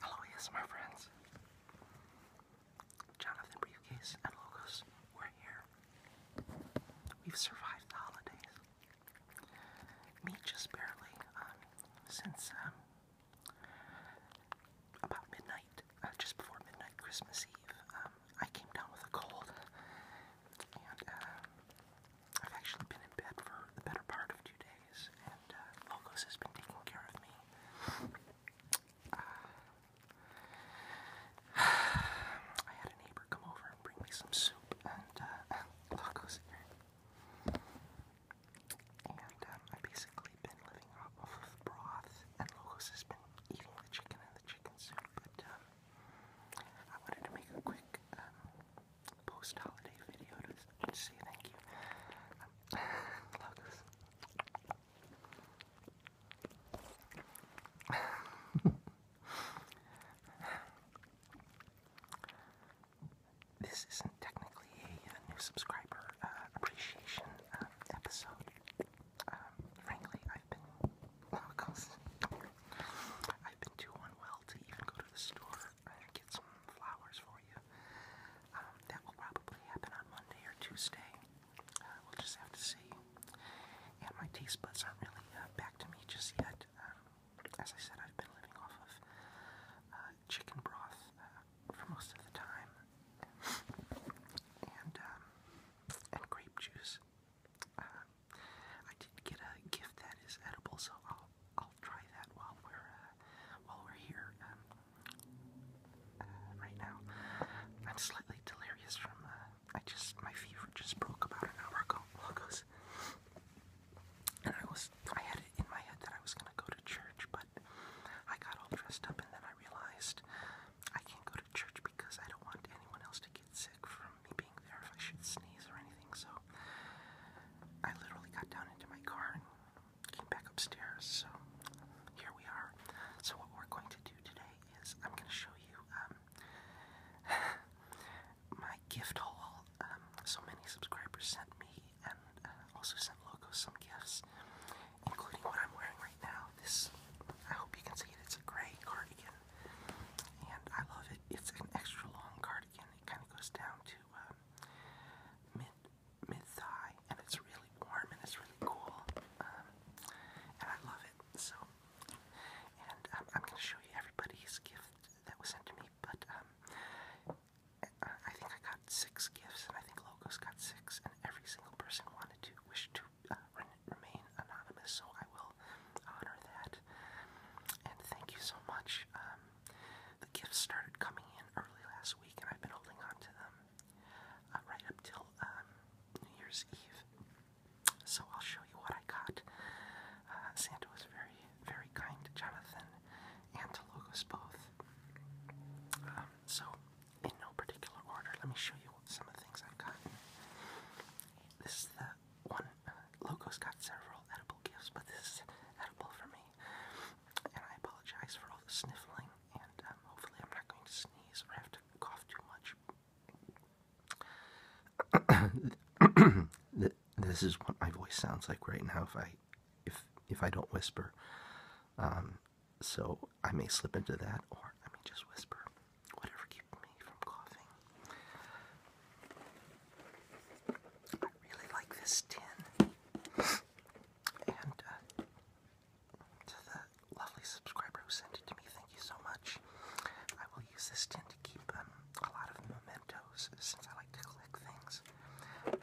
Hello, yes, my friends. Jonathan Briefcase and Logos, we're here. We've survived the holidays. Me just barely. Um, since um, about midnight, uh, just before midnight, Christmas Eve, um, I came down with a cold, and uh, I've actually been in bed for the better part of two and uh, has been taking care of me. I had a neighbor come over and bring me some soup, and uh, And um, I've basically been living off of broth, and Logos has been eating the chicken and the chicken soup, but um, I wanted to make a quick um, post-holiday video say thank you. Um, this isn't technically a, uh, new subscriber uh, appreciation uh, episode. Um, frankly, I've been logos. I've been too unwell to even go to the store I'll get some flowers for you. Um, that will probably happen on Monday or Tuesday. Uh, we'll just have to see. And my taste buds aren't really uh, back to me just yet. Um, as I said, I've been living off of uh, chicken broth for most of the time, and um, and grape juice. I did get a gift that is edible, so I'll I'll try that while we're uh, while we're here. Um, uh, right now, I'm slightly delirious from uh, I just my fever just broke about an hour ago. Logos. And I was I had it in my head that I was gonna go to church, but I got all dressed up and then I realized I can't go to church because I don't want anyone else to get sick from me being there if I should sneeze or anything. So I literally got down into my car and came back upstairs, so here we are. So what we're going to do today is I'm going to show you um, my gift haul. Um, so many subscribers sent me and uh, also sent logos some gifts, including what I'm wearing right now. This, I hope you can see it, it's a gray cardigan, and I love it. It's an extra long cardigan. It kind of goes down to uh, um, mid mid thigh, and it's really warm and it's really cool, um, and I love it. So, and um, I'm gonna show you everybody's gift that was sent to me, but um, I think I got six gifts, and I think Logan's got six, and every single person wanted to wish to uh, remain anonymous, so I will honor that. And thank you so much. The gifts started coming in early last week, and I've been holding on to them uh, right up till um, New Year's Eve. So I'll show you what I got. Uh, Santa was very, very kind to Jonathan and to Logos both. Um, so, in no particular order, let me show you some of the things I've gotten. This is the one. Uh, Logos got several edible gifts, but this is edible for me. And I apologize for all the sniffling, and um, hopefully, I'm not going to sneeze or have to cough too much. this is what my voice sounds like right now if I, if if I don't whisper. Um, so I may slip into that, or I may just whisper. Whatever keeps me from coughing. I really like this tin. And uh, to the lovely subscriber who sent it to me, thank you so much. I will use this tin to keep um, a lot of mementos since I like to collect things.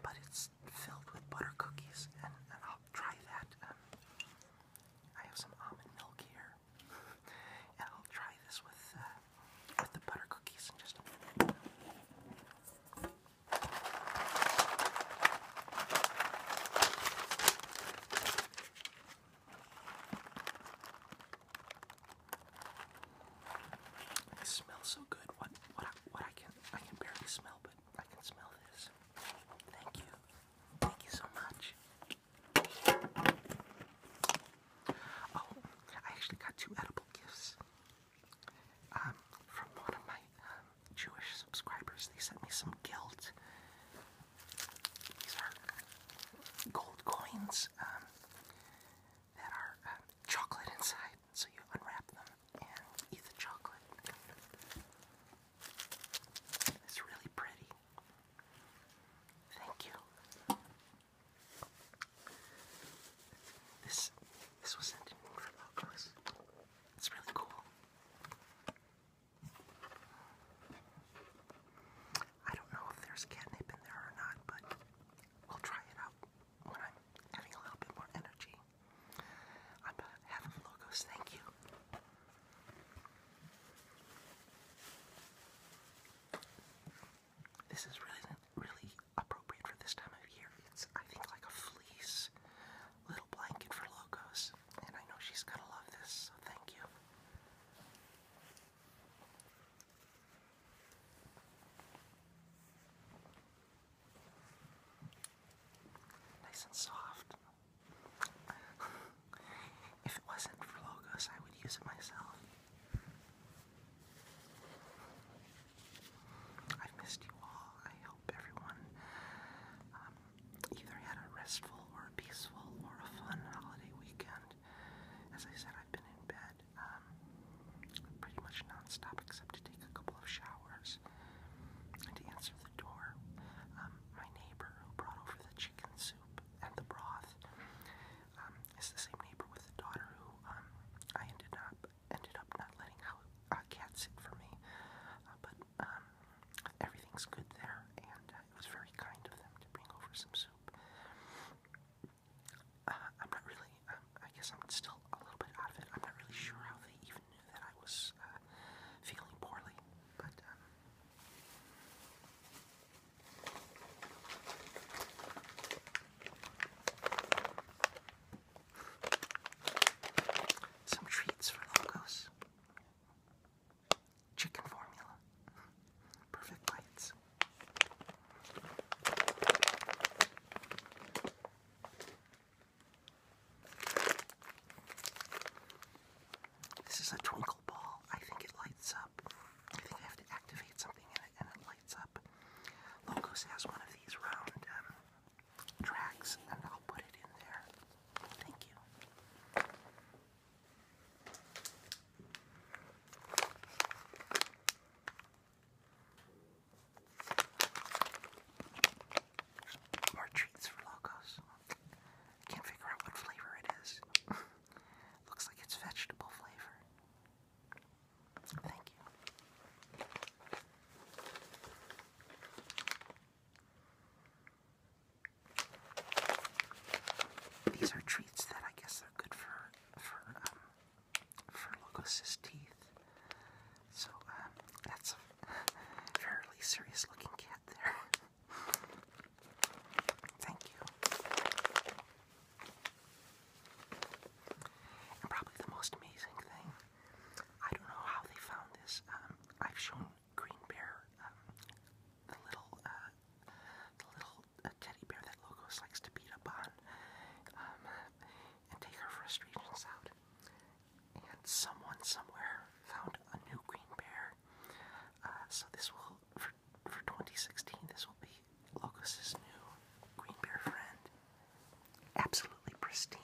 But it's filled with butter cookies, and, I'll try that. Um, I have some almond milk here, and I'll try this with, uh, with the butter cookies in just a minute. It smells so good. What what what I can I can barely smell, but I can smell this. Thank you. Thank you so much. Oh, I actually got two edible gifts. Um, from one of my um, Jewish subscribers. They sent me some guilt. These are gold coins um, that are chocolate inside. So you unwrap them and eat the chocolate. It's really pretty. Thank you. This this was sent in from Oculus. It's really cool. I don't know if there's catnip in there or not, but we'll try it out when I'm having a little bit more energy. I'm having logos, thank you. This is really really appropriate for this time of year. It's I think like a fleece little blanket for logos, and I know she's gonna love this. So thank you. Nice and soft. if it wasn't for logos, I would use it myself. I've missed you all. I hope everyone um, either had a restful or a peaceful or a fun holiday weekend. As I said, I've been in bed um, pretty much nonstop except to take a couple of showers and to answer the door. Um, my neighbor who brought over the chicken soup and the broth is the same neighbor with the daughter who I ended up ended up not letting a uh, cat for me. Uh, but um, everything's good there, and uh, it was very kind of them to bring over some soup. I'm not really, um, I guess I'm still a little bit out of it. I'm not really sure how they even knew that I was feeling poorly, but. Um, some treats for Locos. Chicken formula. Perfect bites. This is a twinkle ball. I think it lights up. I think I have to activate something and it lights up. Logos has one of these round um, tracks, and I'll put it in there. Thank you. More treats for Logos. Can't figure out what flavor it is. Looks like it's vegetable flavor. Thank you. These are treats that I guess are good for for um, for Logos' teeth. So um, that's a fairly serious-looking cat there. Thank you. And probably the most amazing thing, I don't know how they found this. Um, I've shown Green Bear, um, the little, uh, the little uh, teddy bear that Logos likes to beat up on, um, and take her frustrations out. And someone somewhere found a new Green Bear. Uh, so this will for for 2016. This will be Locus's new green bear friend. Absolutely pristine.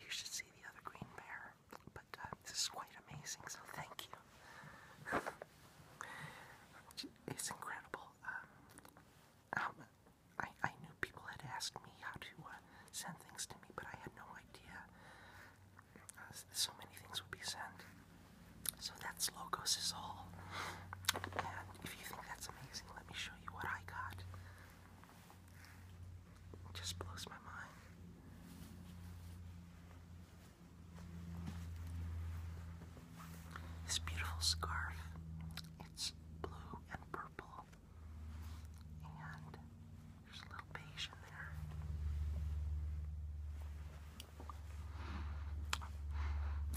You should see the other green bear, but uh, this is quite amazing, so thank you. It's incredible. Um, um, I, knew people had asked me how to uh, send things to me, but I had no idea uh, so many things would be sent. So that's Logos is all. And if you think that's amazing, let me show you what I got. It just blows my mind. This beautiful scarf. It's blue and purple. And there's a little beige in there.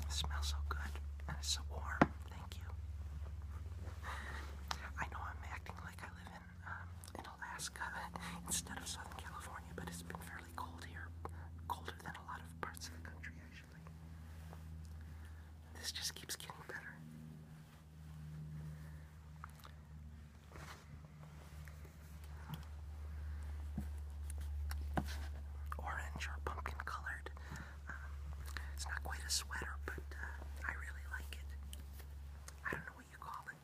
smells so good and it's so warm. Thank you. I know I'm acting like I live in um, in Alaska instead of Southern California, but it's been fairly cold here, colder than a lot of parts of the country actually. This just keeps getting better. Orange or pumpkin colored it's not quite a sweater, but uh, I really like it. I don't know what you call it.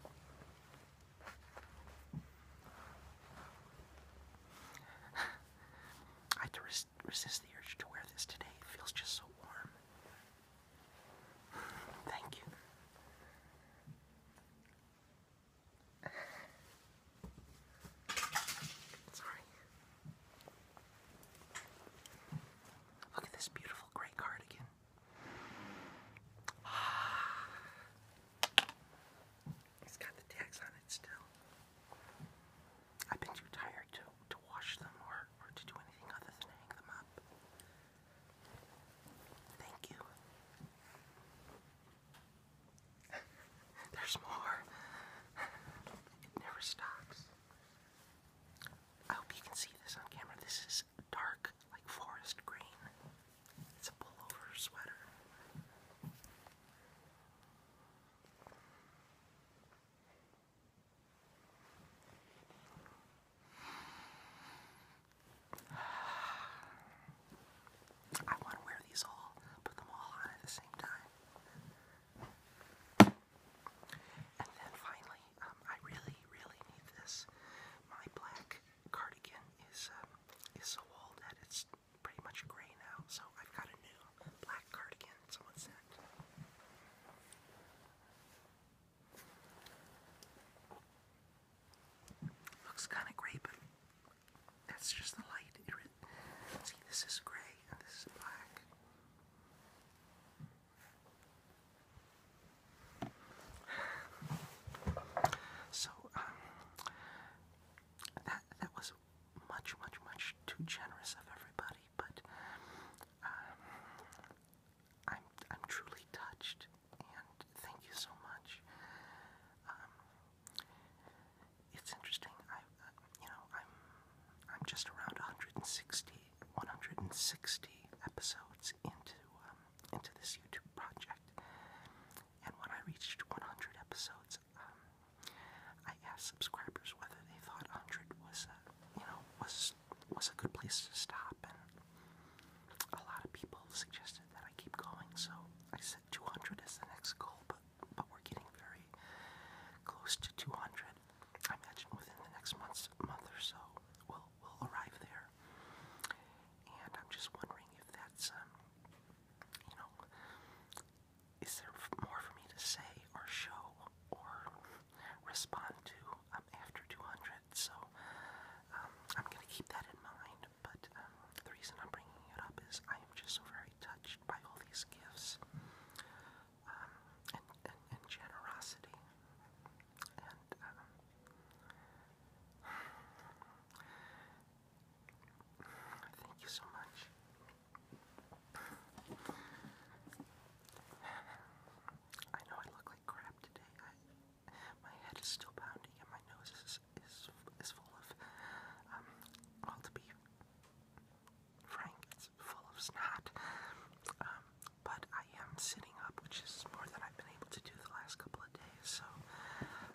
I had to resist the urge to wear this today. It feels just so warm. Thank you. Look at this beautiful gray cardigan. It's got the tags on it still. I've been too tired to, to wash them or, or to do anything other than hang them up. Thank you. There's more. It never stops. I hope you can see this on camera. This is dark, like forest green. It's a pullover sweater. I want to wear these all, put them all on at the same time. And then finally, um, I really, really need this. My black cardigan is um, is so old that it's pretty much gray now, so I've got a new black cardigan. Someone sent. Looks kind of gray, but that's just the light. See, this is gray and this is black. So, um, that, that was much, much, much too generous of everybody, but um, I'm, I'm truly touched, and thank you so much. Um, it's interesting. I, uh, you know, I'm, I'm just around 160, 160 episodes into, um, into this YouTube project, and when I reached 100 episodes, um, I asked subscribers whether they thought 100 was, a, uh, you know, was was a good place to stop, and a lot of people suggested that I keep going. So I said 200 as the next goal, but but we're getting very close to 200. I imagine within the next month's month or so, we'll we'll arrive there. And I'm just wondering if that's, um, you know, is there more for me to say or show or respond to um, after 200? So um, I'm gonna keep that in mind. But um, the reason I'm bringing it up is I am just so very touched by all these gifts um, and, generosity. And um, thank you so much. I know I look like crap today. my head is still pounding and my nose is, is, is full of all um, to be Frank, it's full of snot. Um, but I am sitting up, which is more than I've been able to do the last couple of days. So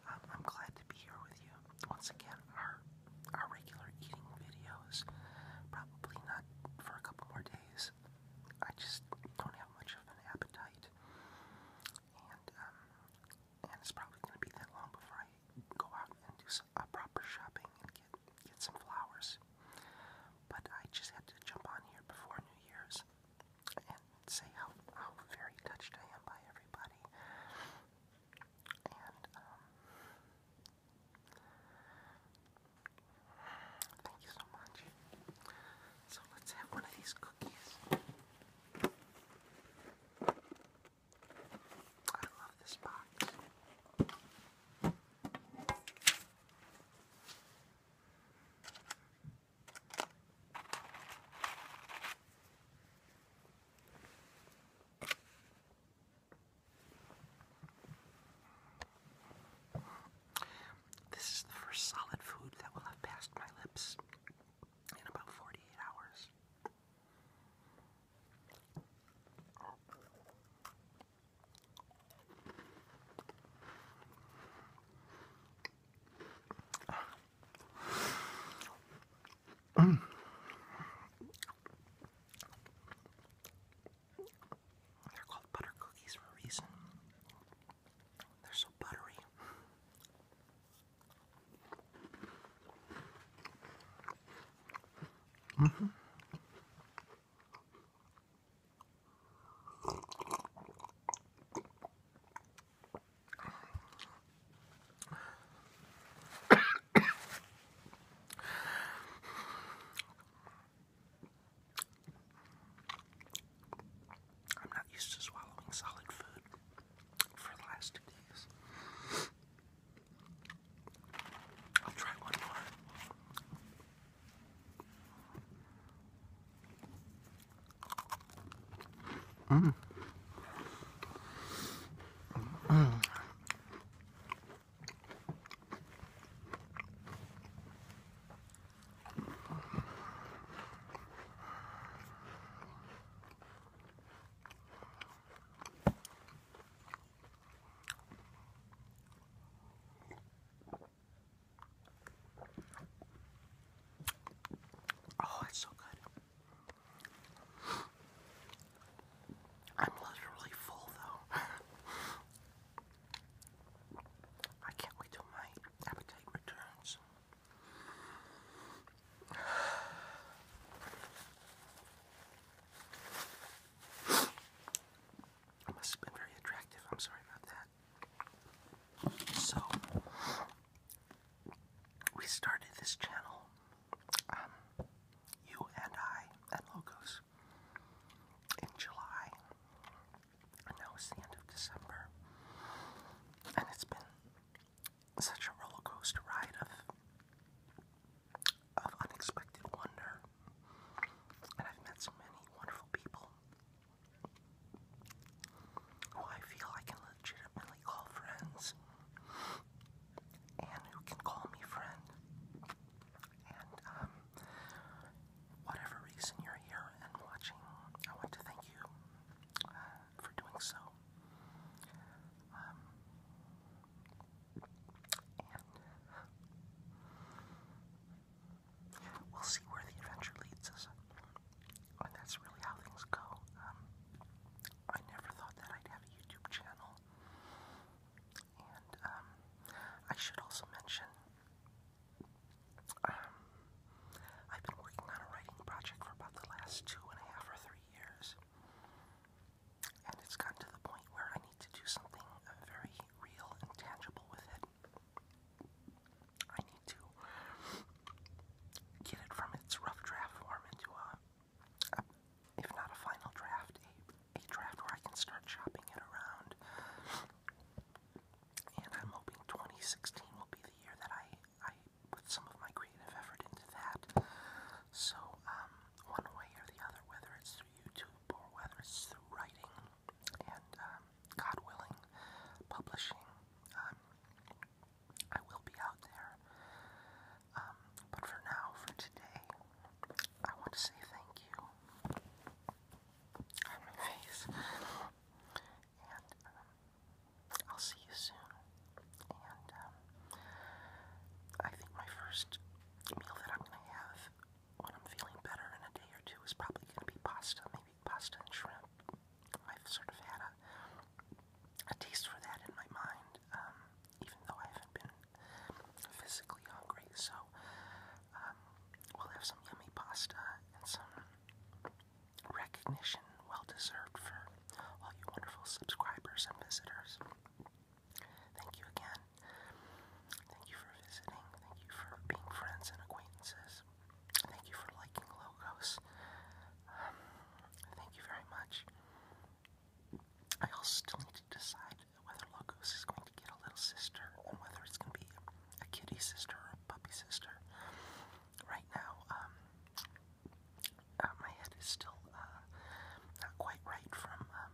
um, I'm glad to be here with you once again. Our our regular eating videos, probably not for a couple more days. I just don't have much of an appetite, and um, it's probably going to be that long before I go out and do something a proper shopping and get get some flowers. But I just had to jump on here before New Year's and say how how very touched I am by everybody. And um, thank you so much. So let's have one of these cookies. I love this box. This is the first solid food that will have passed my lips in about 48 hours. They're called butter cookies for a reason. They're so buttery. Mm -hmm. I'm not used to swallowing solid food for the last two days. I'll try one more. Mm. Mm. Oh, it's so good. I'm literally full though. I can't wait till my appetite returns. I must have been very attractive. I'm sorry about that. So, we started this channel, um, you and I, and Logos, in July. And now it's the end of December. And it's been such a roller coaster ride of of unexpected wonder. And I've met so many wonderful people who I feel I can legitimately call friends and who can call me friend. And um, whatever reason you're here and watching, I want to thank you uh, for doing so. Um, we'll see where the adventure leads us. And that's really how things go. Um, I never thought that I'd have a YouTube channel. And um, I should also mention um, I've been working on a writing project for about the last two and a half or three years and it's gotten to the point where I need to do something very real and tangible with it. I need to get it from its rough draft form into a, if not a final draft, a, draft where I can start shopping it around. And I'm hoping 2016 will be the year that I, I put some of my creative effort into that. So, um, one way or the other, whether it's through YouTube or whether it's through writing and, um, God willing, publishing. Um, I will be out there. Um, but for now, for today, I want to say thank you on my face. And I'll see you soon and um, I think my first meal that I'm gonna have when I'm feeling better in a day or two is probably gonna be pasta, maybe pasta and shrimp. I've sort of had a a taste for that in my mind, um, even though I haven't been physically hungry. So um, we'll have some yummy pasta and some recognition well deserved for all you wonderful subscribers and visitors. Thank you again. Thank you for visiting. Thank you for being friends and acquaintances. Thank you for liking logos. Um, thank you very much. I also still need to decide whether logos is going to get a little sister and whether it's going to be a kitty sister or a puppy sister. Right now, um, uh, my head is still uh, not quite right from um,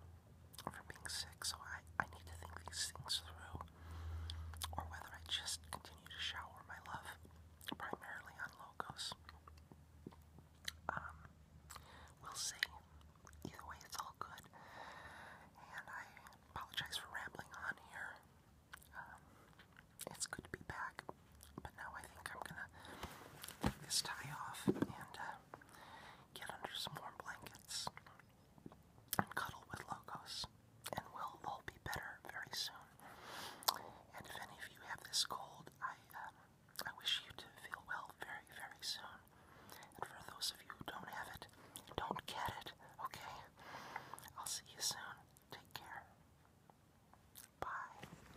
from being sick, so I I need to think these things through, or whether I just continue to shower my love primarily on Logos. Um, we'll see. Either way, it's all good, and I apologize for rambling on here. Um, it's good to be back, but now I think I'm gonna take this tie off and uh, Get under some warm blankets and cuddle with Logos, and we'll all be better very soon. And if any of you have this cold, I um, I wish you to feel well very, very soon. And for those of you don't have it, don't get it, okay? I'll see you soon. Take care. Bye.